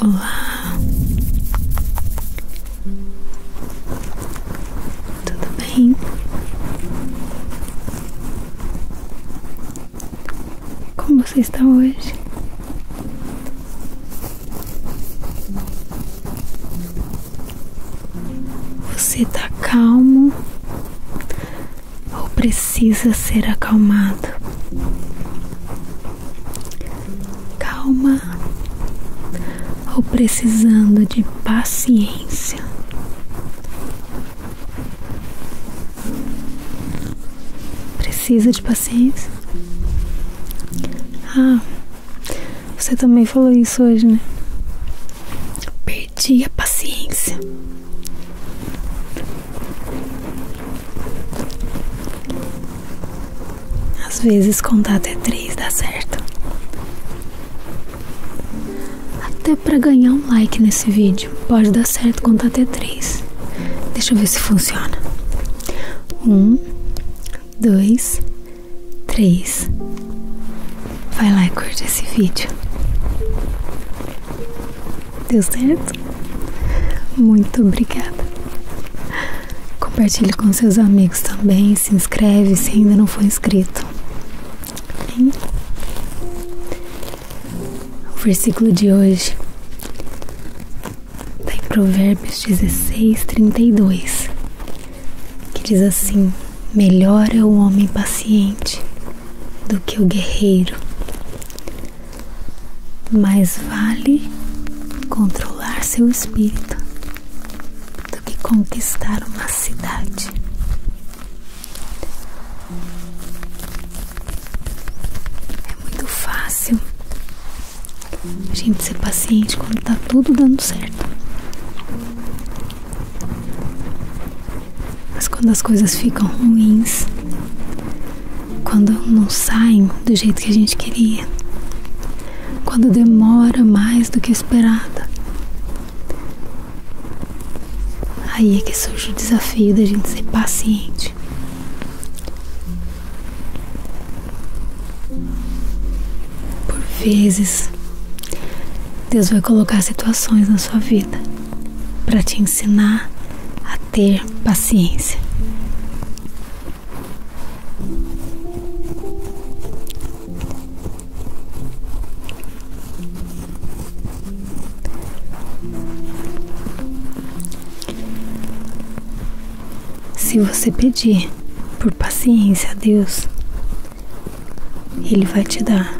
Olá, tudo bem? Como você está hoje? Você está calmo ou precisa ser acalmado? Calma ou precisando de paciência? precisa de paciência. Ah, você também falou isso hoje, né? Perdi a paciência. Às vezes contar até três dá certo. Até para ganhar um like nesse vídeo, pode dar certo contar até três. Deixa eu ver se funciona. Um, dois, três. Vai lá e curte esse vídeo. Deu certo? Muito obrigada. Compartilhe com seus amigos também. Se inscreve se ainda não for inscrito. Hein? O versículo de hoje Está Provérbios 16, 32, que diz assim: Melhor é o homem paciente do que o guerreiro, mais vale controlar seu espírito do que conquistar uma cidade. É muito fácil a gente ser paciente quando tá tudo dando certo. Mas quando as coisas ficam ruins, quando não saem do jeito que a gente queria, quando demora mais do que esperada, aí é que surge o desafio da gente ser paciente. Por vezes, Deus vai colocar situações na sua vida para te ensinar a ter paciência. Se você pedir por paciência a Deus, Ele vai te dar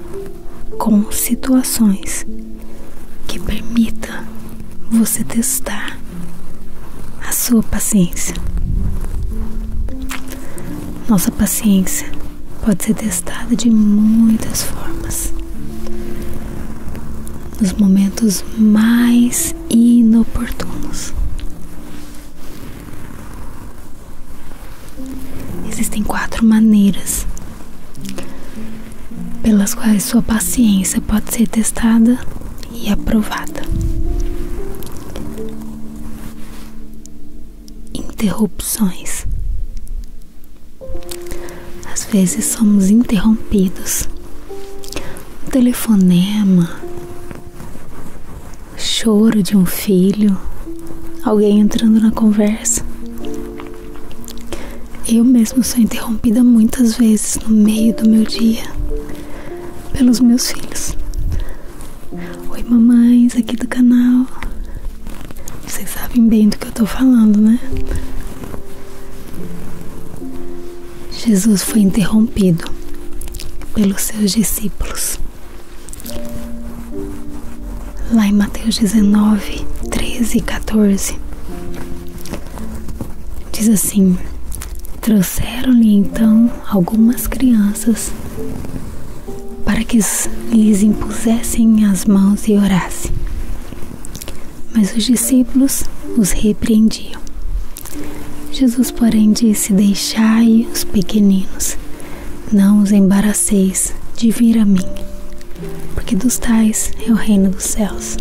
com situações que permita você testar a sua paciência. Nossa paciência pode ser testada de muitas formas. Nos momentos mais momentos inoportunos. Existem quatro maneiras pelas quais sua paciência pode ser testada e aprovada. Interrupções. Às vezes somos interrompidos telefonema, choro de um filho, alguém entrando na conversa. Eu mesmo sou interrompida muitas vezes no meio do meu dia pelos meus filhos. Oi, mamães aqui do canal. Vocês sabem bem do que eu tô falando, né? Jesus foi interrompido pelos seus discípulos. Lá em Mateus 19, 13 e 14, diz assim: Trouxeram-lhe então algumas crianças para que lhes impusessem as mãos e orassem. Mas os discípulos os repreendiam. Jesus, porém, disse: Deixai os pequeninos, não os embaraceis de vir a mim, porque dos tais é o reino dos céus.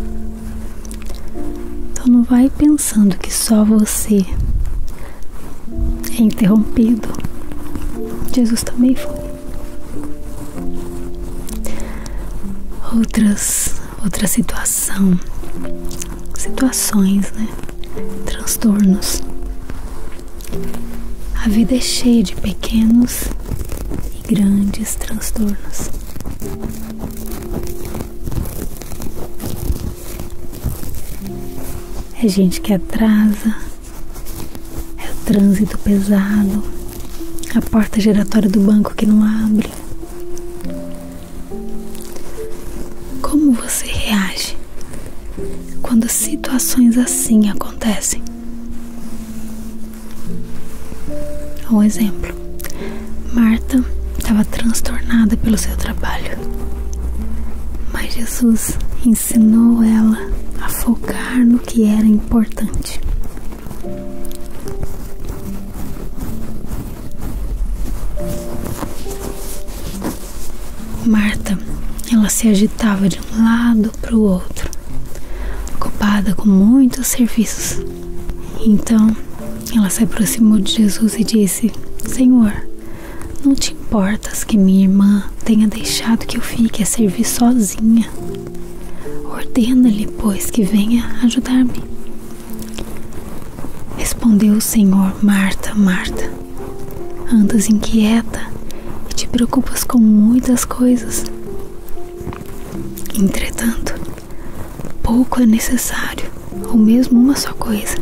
Então não vai pensando que só você é interrompido. Jesus também foi. Outras outra situação, situações, né? Transtornos. A vida é cheia de pequenos e grandes transtornos. É gente que atrasa, é o trânsito pesado, a porta giratória do banco que não abre, como você reage quando situações assim acontecem? Um exemplo: Marta estava transtornada pelo seu trabalho, mas Jesus ensinou ela a focar no que era importante Marta, ela se agitava de um lado para o outro, ocupada com muitos serviços. Então, ela se aproximou de Jesus e disse: Senhor, não te importas que minha irmã tenha deixado que eu fique a servir sozinha? Ordena-lhe, pois, que venha ajudar-me. Respondeu o Senhor: Marta, Marta, andas inquieta e te preocupas com muitas coisas. Entretanto, pouco é necessário, ou mesmo uma só coisa.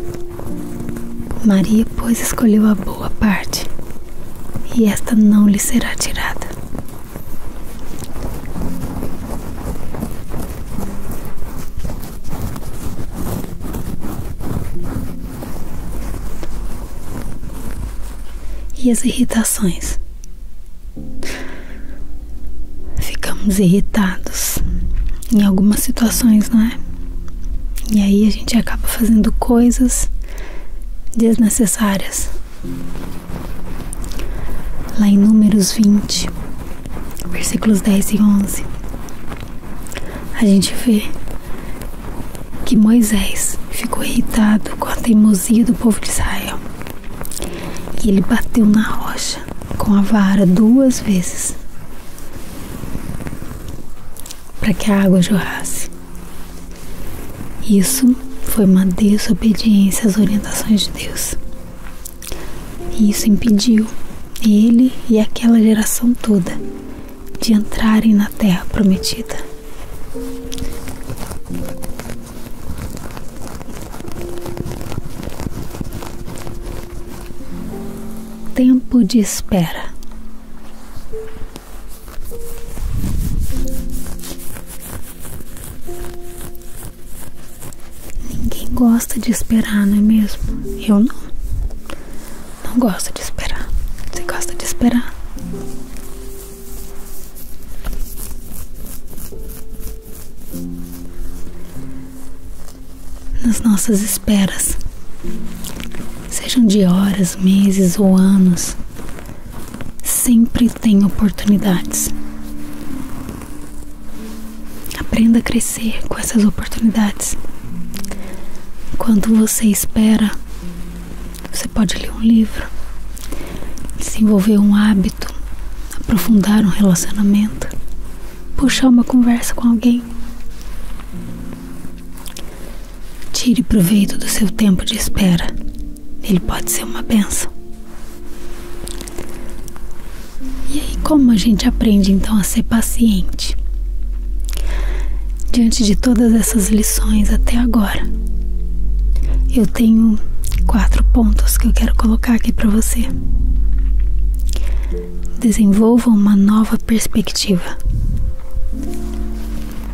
Maria, pois, escolheu a boa parte, e esta não lhe será tirada. E as irritações? Ficamos irritados em algumas situações, não é? E aí a gente acaba fazendo coisas desnecessárias. Lá em Números 20, versículos 10 e 11, a gente vê que Moisés ficou irritado com a teimosia do povo de Israel. E ele bateu na rocha com a vara duas vezes para que a água jorrasse. Isso foi uma desobediência às orientações de Deus. E isso impediu ele e aquela geração toda de entrarem na terra prometida. Tempo de espera. Ninguém gosta de esperar, não é mesmo? Eu não. Não gosto de esperar. Você gosta de esperar? Nas nossas esperas, sejam de horas, meses ou anos, sempre tem oportunidades Aprenda a crescer com essas oportunidades. Enquanto você espera, você pode ler um livro, desenvolver um hábito, aprofundar um relacionamento, puxar uma conversa com alguém. Tire proveito do seu tempo de espera. Ele pode ser uma benção. E aí, como a gente aprende então a ser paciente? Diante de todas essas lições até agora, eu tenho quatro pontos que eu quero colocar aqui para você. Desenvolva uma nova perspectiva.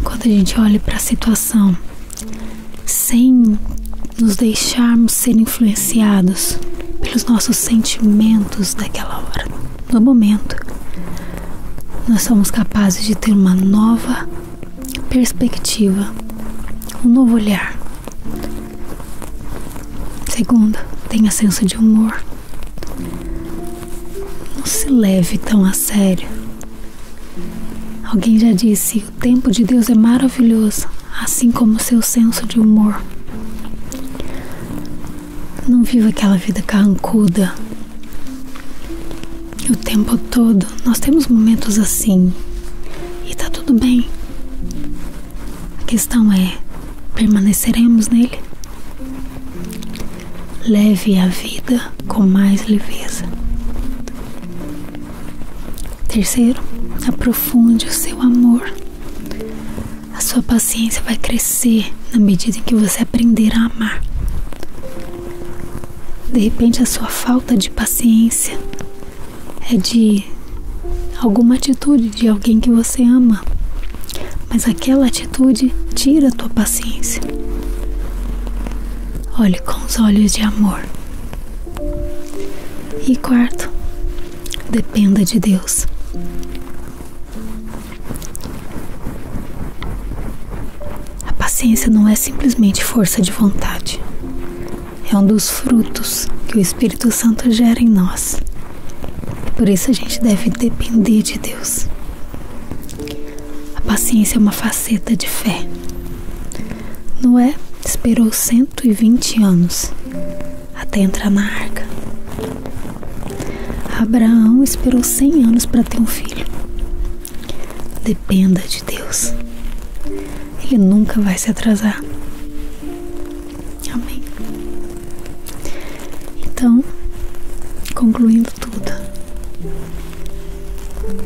Quando a gente olha para a situação sem nos deixarmos ser influenciados pelos nossos sentimentos daquela hora, no momento, nós somos capazes de ter uma nova perspectiva, um novo olhar. Segunda, tenha senso de humor. Não se leve tão a sério. Alguém já disse o tempo de Deus é maravilhoso, assim como o seu senso de humor. Não viva aquela vida carrancuda. O tempo todo nós temos momentos assim e tá tudo bem. A questão é: permaneceremos nele? Leve a vida com mais leveza. Terceiro, aprofunde o seu amor. A sua paciência vai crescer na medida em que você aprender a amar. De repente, a sua falta de paciência é de alguma atitude de alguém que você ama, mas aquela atitude tira a tua paciência. Olhe com os olhos de amor e quarto, dependa de Deus. A paciência não é simplesmente força de vontade. É um dos frutos que o Espírito Santo gera em nós. Por isso a gente deve depender de Deus. A paciência é uma faceta de fé. Noé esperou 120 anos até entrar na arca. Abraão esperou 100 anos para ter um filho. Dependa de Deus. Ele nunca vai se atrasar. Amém. Então, concluindo tudo,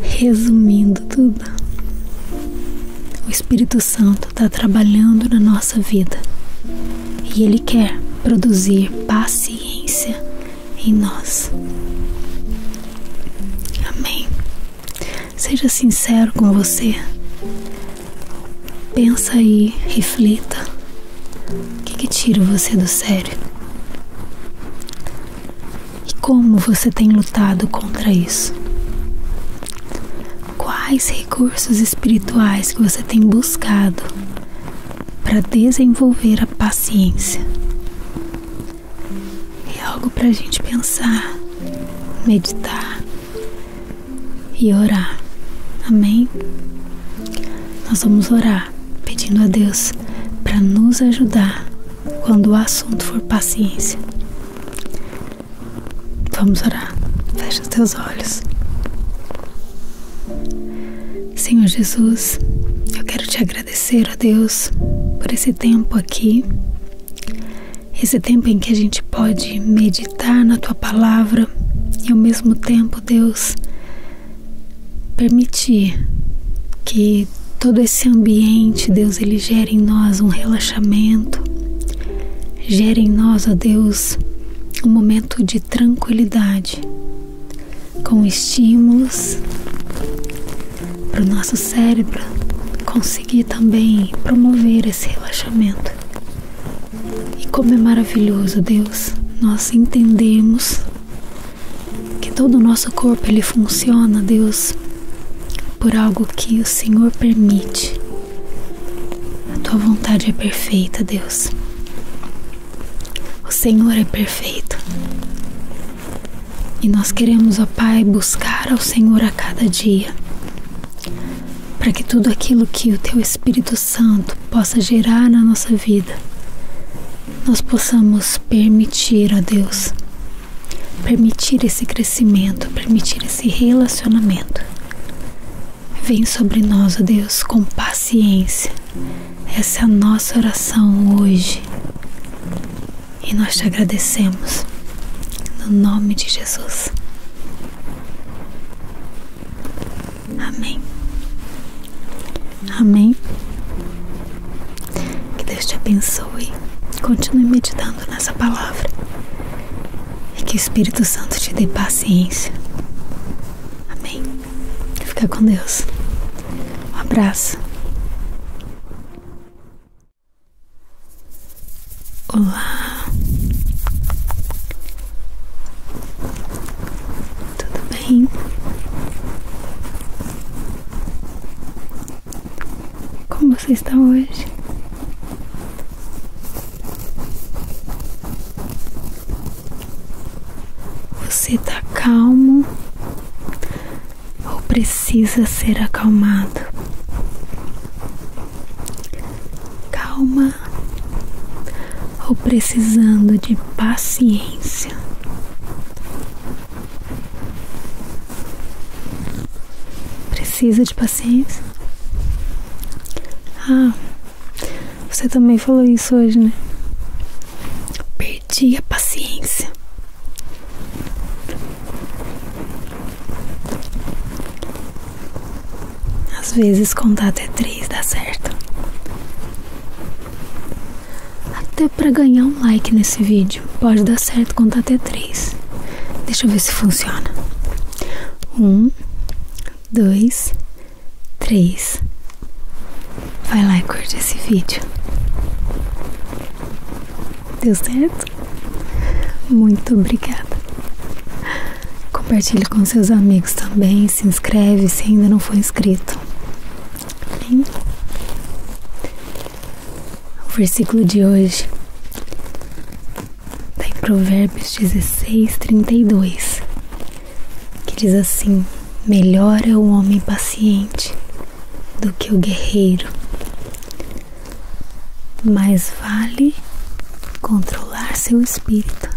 Resumindo tudo, o Espírito Santo está trabalhando na nossa vida e ele quer produzir paciência em nós. Amém. Seja sincero com você. Pensa aí, reflita. O que, que tira você do sério? E como você tem lutado contra isso? Quais recursos espirituais que você tem buscado para desenvolver a paciência? É algo para a gente pensar, meditar e orar. Amém? Nós vamos orar pedindo a Deus para nos ajudar quando o assunto for paciência. Vamos orar. Fecha os teus olhos. Senhor Jesus, eu quero te agradecer, ó Deus, por esse tempo aqui. Esse tempo em que a gente pode meditar na tua palavra e ao mesmo tempo, Deus, permitir que todo esse ambiente, Deus, ele gera em nós um relaxamento, gera em nós, ó Deus, um momento de tranquilidade, com estímulos para o nosso cérebro conseguir também promover esse relaxamento. E como é maravilhoso, Deus, nós entendemos que todo o nosso corpo ele funciona, Deus, por algo que o Senhor permite. A tua vontade é perfeita, Deus. O Senhor é perfeito. E nós queremos, ó Pai, buscar ao Senhor a cada dia, para que tudo aquilo que o Teu Espírito Santo possa gerar na nossa vida, nós possamos permitir, ó Deus, permitir esse crescimento, permitir esse relacionamento. Vem sobre nós, ó Deus, com paciência. Essa é a nossa oração hoje. E nós te agradecemos. No nome de Jesus. Amém. Amém. Que Deus te abençoe. Continue meditando nessa palavra. E que o Espírito Santo te dê paciência. Amém. Fica com Deus. Um abraço. Olá. Tudo bem? Como você está hoje? Você está calmo ou precisa ser acalmado? Calma ou precisando de paciência? Precisa de paciência. Ah, você também falou isso hoje, né? Perdi a paciência. Às vezes contato até três dá certo. Até é para ganhar um like nesse vídeo. Pode dar certo contar até três. Deixa eu ver se funciona. Um, dois, três. Vai lá e curte esse vídeo. Deu certo? Muito obrigada. Compartilhe com seus amigos também. Se inscreve se ainda não for inscrito. Hein? O versículo de hoje está em Provérbios 16, 32, que diz assim: Melhor é o homem paciente do que o guerreiro. Mais vale controlar seu espírito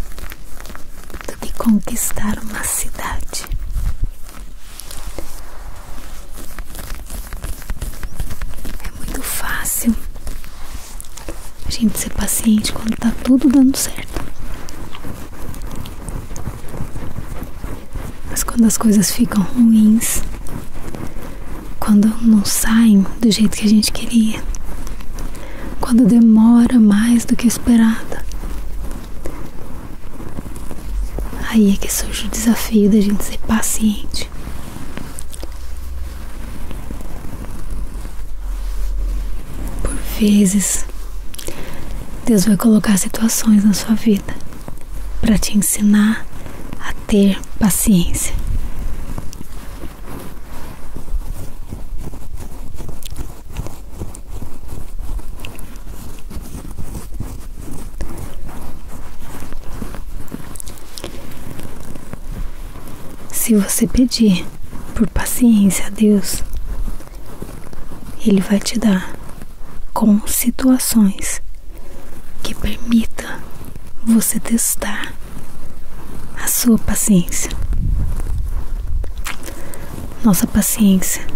do que conquistar uma cidade. É muito fácil a gente ser paciente quando tá tudo dando certo. Mas quando as coisas ficam ruins, quando não saem do jeito que a gente queria, quando demora mais do que esperado, Aí é que surge o desafio da gente ser paciente. Por vezes, Deus vai colocar situações na sua vida para te ensinar a ter paciência. Se você pedir por paciência a Deus, Ele vai te dar com situações que permita você testar a sua paciência. Nossa paciência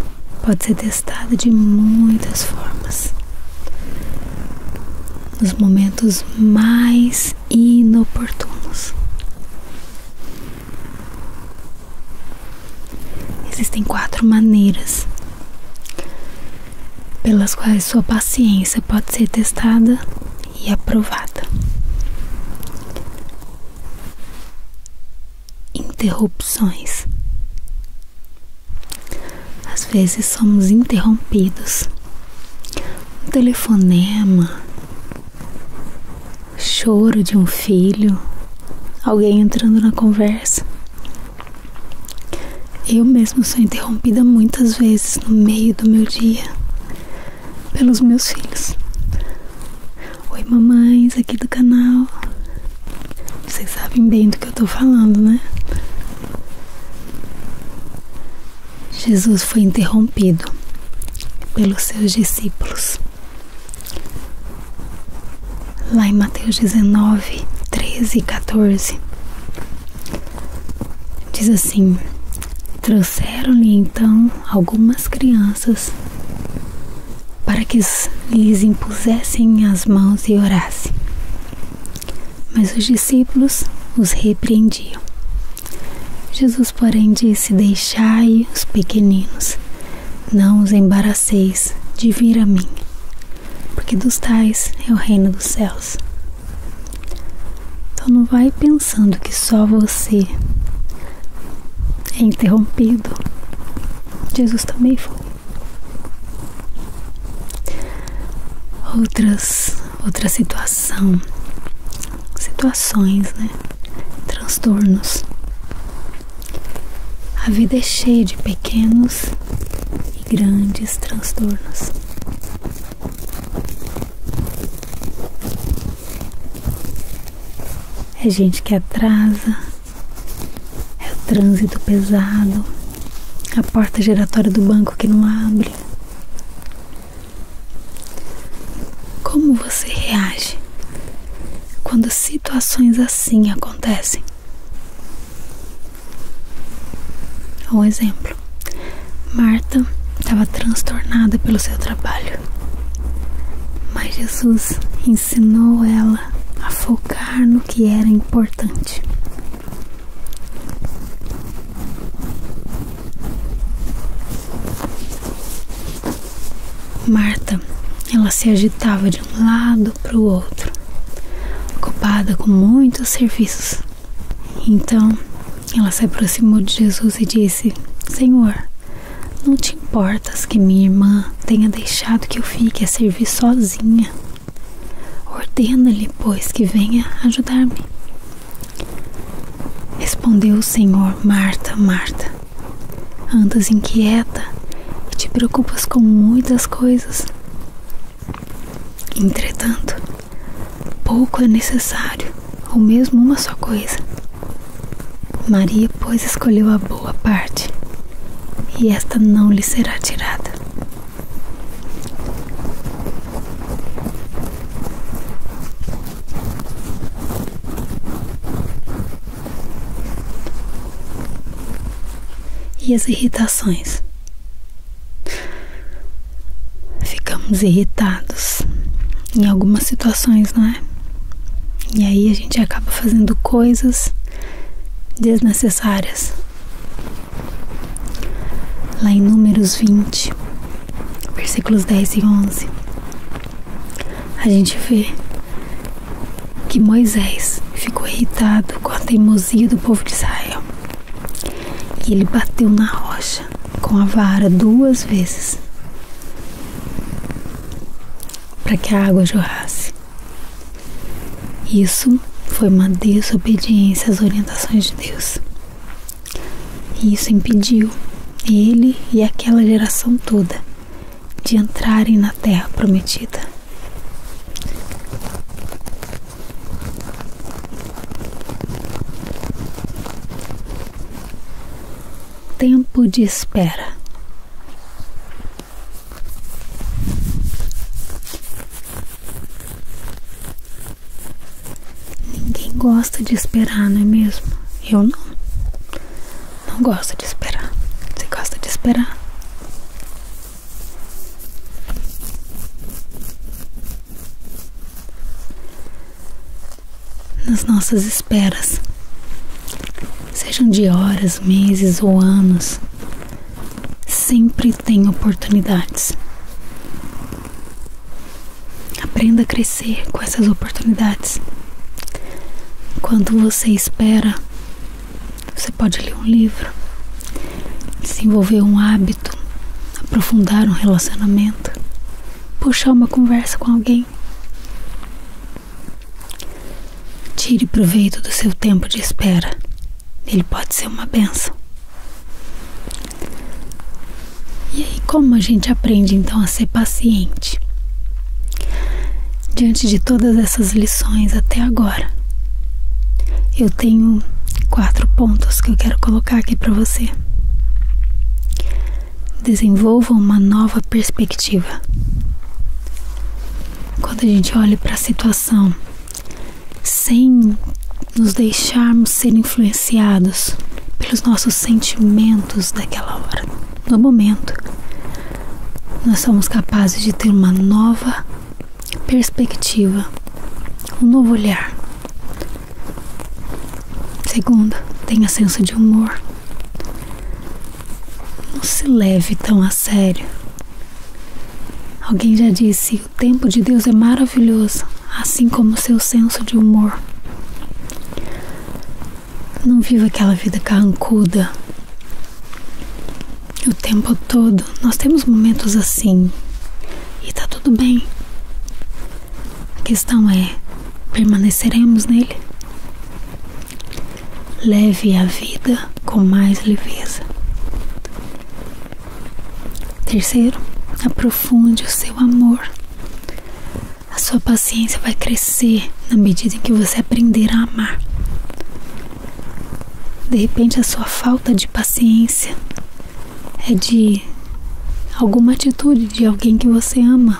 pode ser testada de muitas formas nos momentos mais inoportunos. Existem quatro maneiras pelas quais sua paciência pode ser testada e aprovada. Interrupções às vezes somos interrompidos. Um telefonema, choro de um filho, alguém entrando na conversa. Eu mesmo sou interrompida muitas vezes no meio do meu dia pelos meus filhos. Oi, mamães aqui do canal. Vocês sabem bem do que eu estou falando, né? Jesus foi interrompido pelos seus discípulos. Lá em Mateus 19, 13 e 14, diz assim: Trouxeram-lhe então algumas crianças para que lhes impusessem as mãos e orassem. Mas os discípulos os repreendiam. Jesus, porém, disse: Deixai os pequeninos, não os embaraceis de vir a mim, porque dos tais é o reino dos céus. Então não vai pensando que só você é interrompido. Jesus também foi. Outras, outra situação, situações, né? Transtornos. A vida é cheia de pequenos e grandes transtornos. É gente que atrasa, é o trânsito pesado, a porta giratória do banco que não abre. Como você reage quando situações assim acontecem? Um exemplo: Marta estava transtornada pelo seu trabalho, mas Jesus ensinou ela a focar no que era importante. Marta, ela se agitava de um lado para o outro, ocupada com muitos serviços. Então, ela se aproximou de Jesus e disse: Senhor, não te importas que minha irmã tenha deixado que eu fique a servir sozinha? Ordena-lhe, pois, que venha ajudar-me. Respondeu o Senhor: Marta, Marta, andas inquieta e te preocupas com muitas coisas. Entretanto, pouco é necessário, ou mesmo uma só coisa. Maria, pois, escolheu a boa parte e esta não lhe será tirada. E as irritações? Ficamos irritados em algumas situações, não é? E aí a gente acaba fazendo coisas desnecessárias. Lá em Números 20, versículos 10 e 11, a gente vê que Moisés ficou irritado com a teimosia do povo de Israel e ele bateu na rocha com a vara duas vezes para que a água jorrasse. Isso foi uma desobediência às orientações de Deus. isso impediu ele e aquela geração toda de entrarem na terra prometida. Tempo de espera. Ninguém gosta de esperar, não é mesmo? Eu não. Não gosto de esperar. Você gosta de esperar? Nas nossas esperas, sejam de horas, meses ou anos, Sempre tem oportunidades. Aprenda a crescer com essas oportunidades. Quando você espera, você pode ler um livro, desenvolver um hábito, aprofundar um relacionamento, puxar uma conversa com alguém. Tire proveito do seu tempo de espera. Ele pode ser uma benção. E aí, como a gente aprende então a ser paciente? Diante de todas essas lições até agora, eu tenho quatro pontos que eu quero colocar aqui para você. Desenvolva uma nova perspectiva quando a gente olha para a situação sem nos deixarmos ser influenciados pelos nossos sentimentos daquela hora, no momento, nós somos capazes de ter uma nova perspectiva, um novo olhar. Segundo, tenha senso de humor. Não se leve tão a sério. Alguém já disse: o tempo de Deus é maravilhoso, assim como o seu senso de humor. Não viva aquela vida carrancuda. O tempo todo nós temos momentos assim e tá tudo bem. A questão é: permaneceremos nele? Leve a vida com mais leveza. Terceiro, aprofunde o seu amor. A sua paciência vai crescer na medida em que você aprender a amar. De repente, a sua falta de paciência é de alguma atitude de alguém que você ama,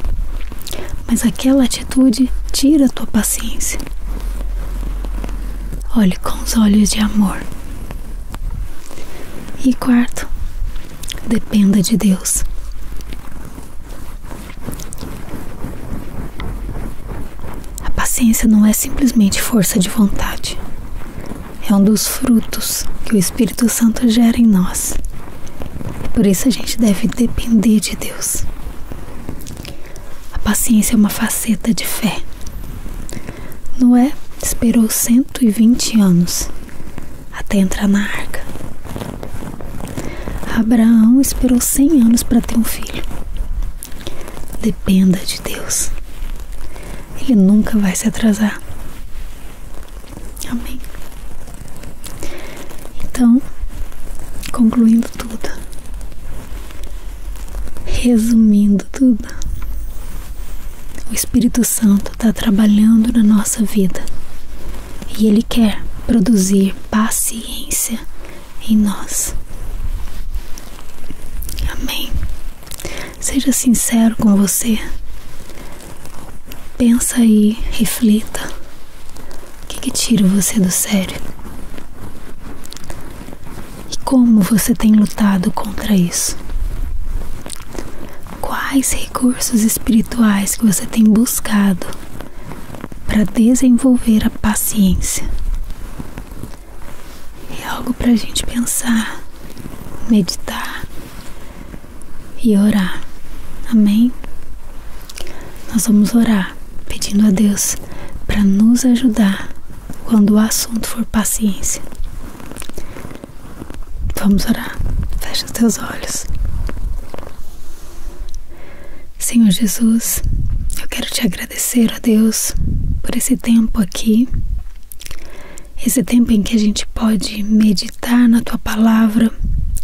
mas aquela atitude tira a tua paciência. Olhe com os olhos de amor. E quarto, dependa de Deus. A paciência não é simplesmente força de vontade. É um dos frutos que o Espírito Santo gera em nós. Por isso a gente deve depender de Deus. A paciência é uma faceta de fé. Noé esperou 120 anos até entrar na arca. Abraão esperou 100 anos para ter um filho. Dependa de Deus. Ele nunca vai se atrasar. Amém. Então, concluindo tudo, Resumindo tudo, o Espírito Santo está trabalhando na nossa vida e ele quer produzir paciência em nós. Amém. Seja sincero com você. Pensa aí, reflita. O que, tira você do sério? E como você tem lutado contra isso? Quais recursos espirituais que você tem buscado para desenvolver a paciência? É algo para a gente pensar, meditar e orar. Amém? Nós vamos orar pedindo a Deus para nos ajudar quando o assunto for paciência. Vamos orar. Fecha os teus olhos. Senhor Jesus, eu quero te agradecer a Deus por esse tempo aqui. Esse tempo em que a gente pode meditar na tua palavra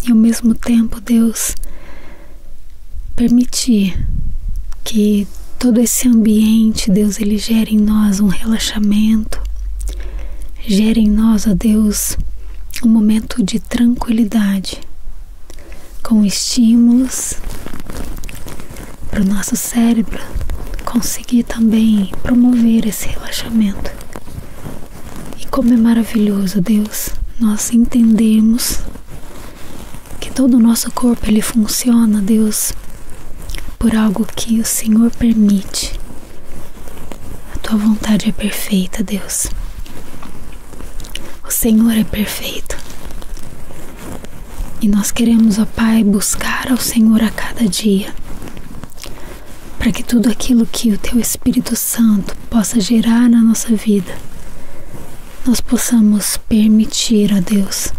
e ao mesmo tempo, Deus, permitir que todo esse ambiente, Deus, ele gere em nós um relaxamento, gere em nós, ó Deus, um momento de tranquilidade, com estímulos para o nosso cérebro conseguir também promover esse relaxamento. E como é maravilhoso, Deus, nós entendemos que todo o nosso corpo ele funciona, Deus, por algo que o Senhor permite. A tua vontade é perfeita, Deus. O Senhor é perfeito. E nós queremos, ó Pai, buscar ao Senhor a cada dia, para que tudo aquilo que o Teu Espírito Santo possa gerar na nossa vida nós possamos permitir a Deus,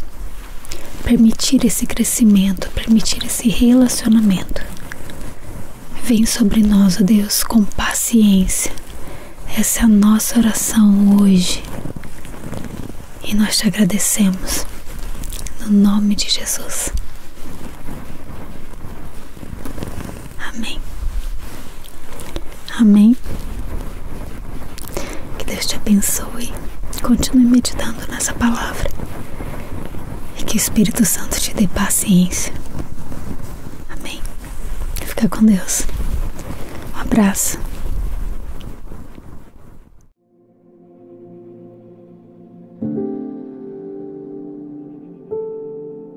permitir esse crescimento, permitir esse relacionamento. Vem sobre nós, ó Deus, com paciência. Essa é a nossa oração hoje. E nós te agradecemos. No nome de Jesus. Amém. Amém. Que Deus te abençoe. Continue meditando nessa palavra. E que o Espírito Santo te dê paciência. Amém. Fica com Deus. Um abraço.